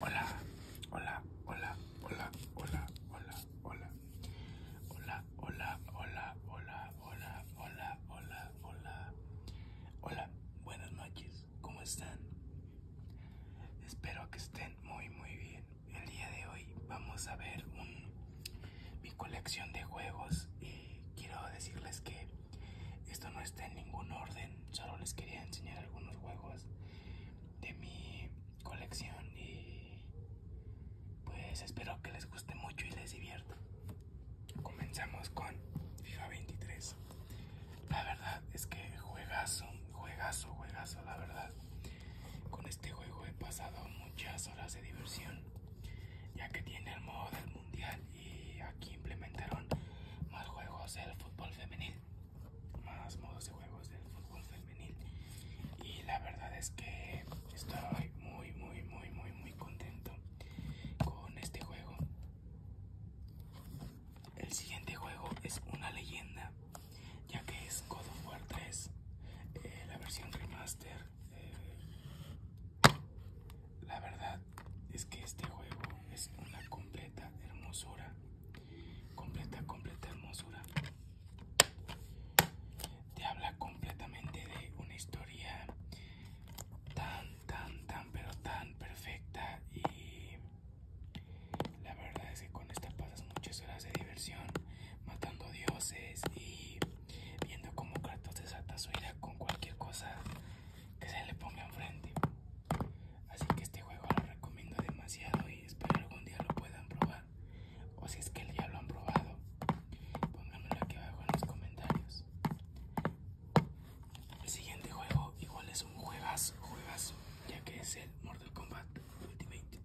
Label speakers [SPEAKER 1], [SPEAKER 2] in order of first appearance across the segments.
[SPEAKER 1] Hola, hola, hola, hola, hola, hola, hola. Hola, hola, hola, hola, hola, hola, hola, hola. Hola, buenas noches, ¿cómo están? Espero que estén muy, muy bien. El día de hoy vamos a ver mi colección de juegos y quiero decirles que esto no está en ningún orden, solo les quería enseñar algunos juegos de mi colección y pues espero que les guste mucho y les divierta. Comenzamos con FIFA 23. La verdad es que juegazo, juegazo, juegazo, la verdad. Con este juego he pasado muchas horas de diversión, ya que tiene el modo del mundial y aquí implementaron más juegos del fútbol femenil más modos de juegos del fútbol femenil y la verdad es que estoy muy muy muy muy muy contento con este juego el siguiente juego es una leyenda ya que es God of War 3 eh, la versión remaster eh, la verdad es que este juego es una completa hermosura. Completa, completa hermosura. Te habla completamente de una historia tan, tan, tan, pero tan perfecta. Y la verdad es que con esta pasas muchas horas de diversión, matando dioses y viendo como Kratos se su con cualquier cosa que se le ponga enfrente. Así que este juego lo recomiendo demasiado y espero algún día lo puedan probar. O si es que ya lo han probado, pónganmelo aquí abajo en los comentarios. El siguiente juego igual es un juegas juegazo, ya que es el Mortal Kombat Ultimate.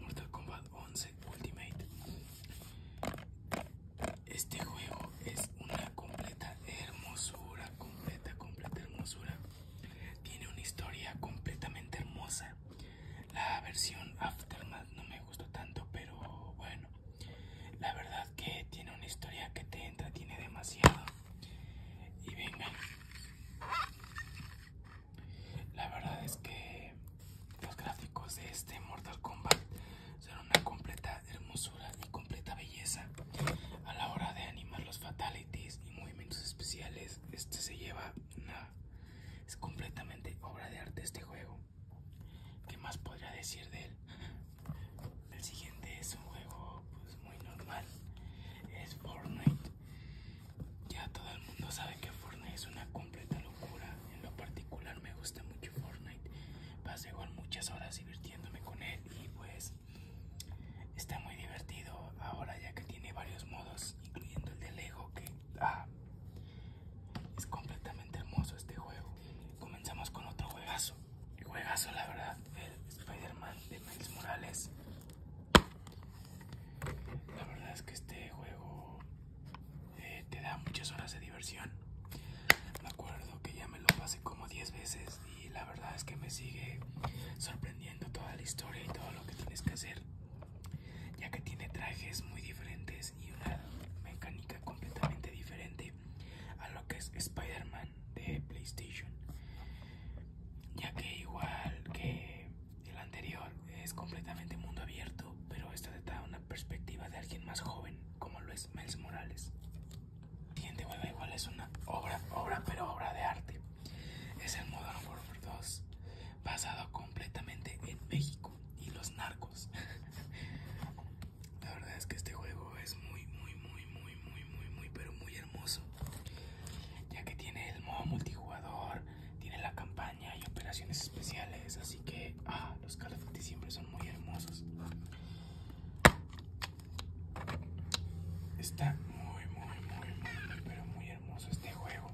[SPEAKER 1] Mortal Kombat 11 Ultimate este juego es una completa hermosura, completa, completa hermosura. Tiene una historia completamente hermosa. La versión Aftermath no me gustó tanto, pero bueno, la verdad que tiene una historia que te entretiene demasiado. Y venga, la verdad es que los gráficos de este Mortal Kombat son una completa hermosura y completa belleza. A la hora de animar los fatalities y movimientos especiales, este se lleva una... Es completamente obra de arte este juego. ¿Qué más podría decir de él? El siguiente es un juego pues, muy normal. Es Fortnite. Ya todo el mundo sabe que Fortnite es una completa en lo particular me gusta mucho Fortnite. Pasé muchas horas divirtiéndome con él y pues está muy divertido ahora ya que tiene varios modos, incluyendo el de Lego que ah, es completamente hermoso este juego. Comenzamos con otro juegazo. El juegazo la verdad, el Spider-Man de Miles Morales. La verdad es que este juego eh, te da muchas horas de diversión. Me acuerdo que ya me lo pasé como 10 veces y la verdad es que me sigue sorprendiendo toda la historia y todo lo que tienes que hacer, ya que tiene trajes muy diferentes y una mecánica completamente diferente a lo que es Spider-Man de PlayStation, ya que igual que el anterior es completamente mundo abierto, pero esta de perspectiva de alguien más joven, como lo es Mens Morales. Tiene juego igual es una obra, obra, pero obra de arte. Es el modo Warfare 2, basado completamente en México y los narcos. La verdad es que este juego es muy, muy, muy, muy, muy, muy, muy, pero muy hermoso. Ya que tiene el modo multijugador, tiene la campaña y operaciones especiales, así que ah, los Call de siempre son muy hermosos. Está muy, muy, muy, muy, pero muy hermoso este juego.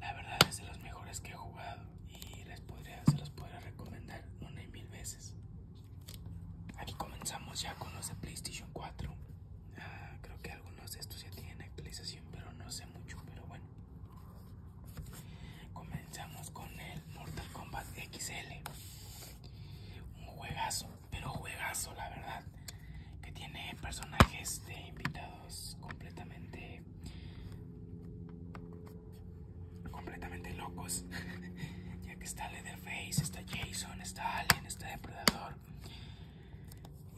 [SPEAKER 1] La verdad es de los mejores que he jugado y les podría, se los podría recomendar una y mil veces. Aquí comenzamos ya con los de PlayStation 4. Ah, creo que algunos de estos ya tienen actualización, pero no sé mucho, pero bueno. Comenzamos con el Mortal Kombat XL. Un juegazo, pero juegazo la verdad. Que tiene personajes de invitados completamente... Completamente locos. ya que está Leatherface, está Jason, está Alien, está Depredador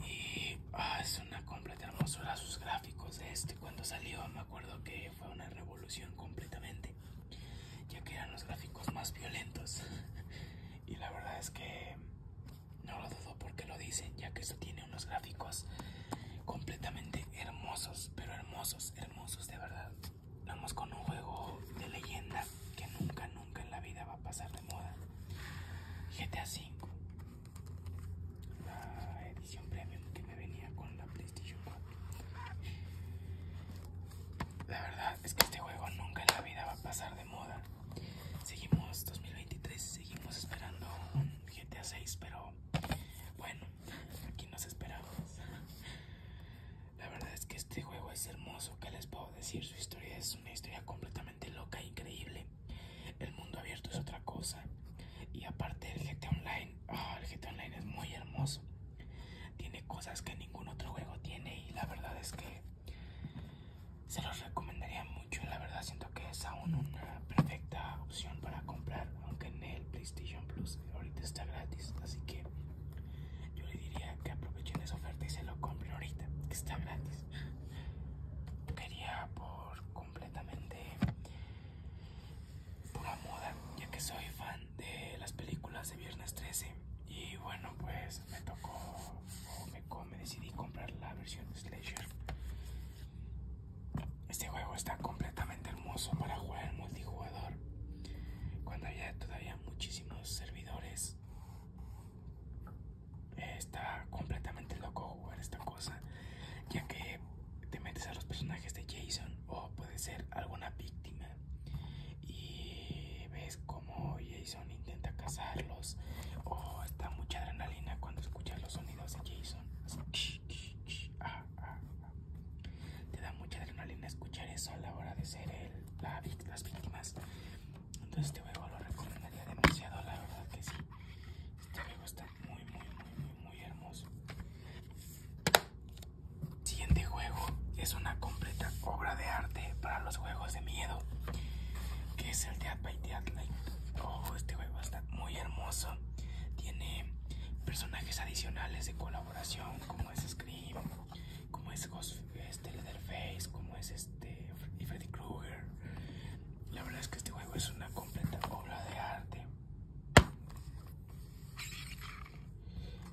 [SPEAKER 1] y ah, es una completa hermosura sus gráficos de este cuando salió me acuerdo que fue una revolución completamente ya que eran los gráficos más violentos y la verdad es que no lo dudo porque lo dicen ya que esto tiene unos gráficos completamente hermosos pero hermosos hermosos de verdad vamos con un juego de leyenda que nunca nunca en la vida va a pasar de moda. GTA V, la edición premium que me venía con la PlayStation 4. La verdad es que este juego nunca en la vida va a pasar de moda. Seguimos 2023, seguimos esperando un GTA 6, pero bueno, aquí nos esperamos. La verdad es que este juego es hermoso, que les puedo decir? Su historia es una historia completamente loca e increíble. El mundo abierto es otra cosa. Y aparte el GT Online, ah, el GT Online es muy hermoso. Tiene cosas que ningún otro juego tiene y la verdad es que se los recomendaría mucho. La verdad siento que es aún una perfecta opción para comprar, aunque en el PlayStation Plus ahorita está gratis. Así que yo le diría que aprovechen esa oferta y se lo compren ahorita, que está gratis. Quería por completamente pura moda, ya que soy fan de las películas de Viernes 13 y bueno pues me tocó o me, decidí comprar la versión Slasher. Este juego está completamente hermoso para jugar en multijugador cuando había todavía muchísimos servidores está completamente loco jugar esta cosa, ya que te metes a los personajes de Jason o puede ser alguna víctima y ves cómo Jason intenta cazarlos o está mucha adrenalina cuando escuchas los sonidos de Jason. Ah, ah, ah. Te da mucha adrenalina escuchar eso a la hora de ser él las víctimas. Entonces este juego lo recomendaría demasiado, la verdad que sí. Este juego está muy, muy, muy, muy, hermoso. Siguiente juego es una completa obra de arte para los juegos de miedo, que es el Dead by oh, este juego está muy hermoso. Tiene personajes adicionales de colaboración como es Scream como es este, Leatherface, como es este Freddy Krueger. La verdad es que este juego es una completa obra de arte.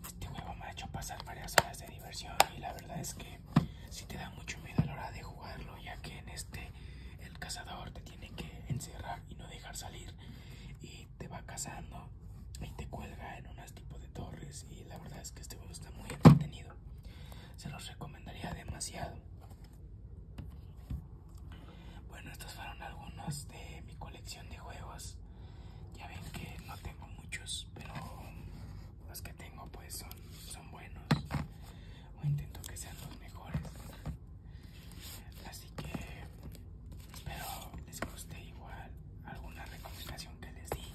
[SPEAKER 1] Este juego me ha hecho pasar varias horas de diversión y la verdad es que si te da mucho miedo a la hora de jugarlo, ya que en este el cazador te tiene que encerrar y no dejar salir y te va cazando y te cuelga en unas tipo de torres y la verdad es que este juego está muy entretenido. Se los recomendaría demasiado. Bueno, estos fueron algunos de mi colección de juegos. Ya ven que no tengo muchos, pero los que tengo pues son, son buenos. O intento que sean los mejores. Así Así que espero les guste igual alguna recomendación que les di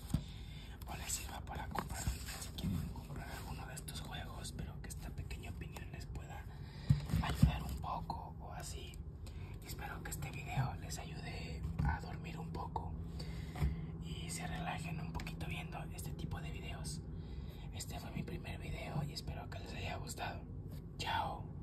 [SPEAKER 1] o les sirva para comprar si quieren comprar alguno de estos juegos, Espero que esta pequeña opinión les pueda ayudar un poco o así. Espero que este video les ayude a dormir un poco y se relajen un poquito viendo este tipo de videos. Este fue mi primer video y espero que les haya gustado. Chao.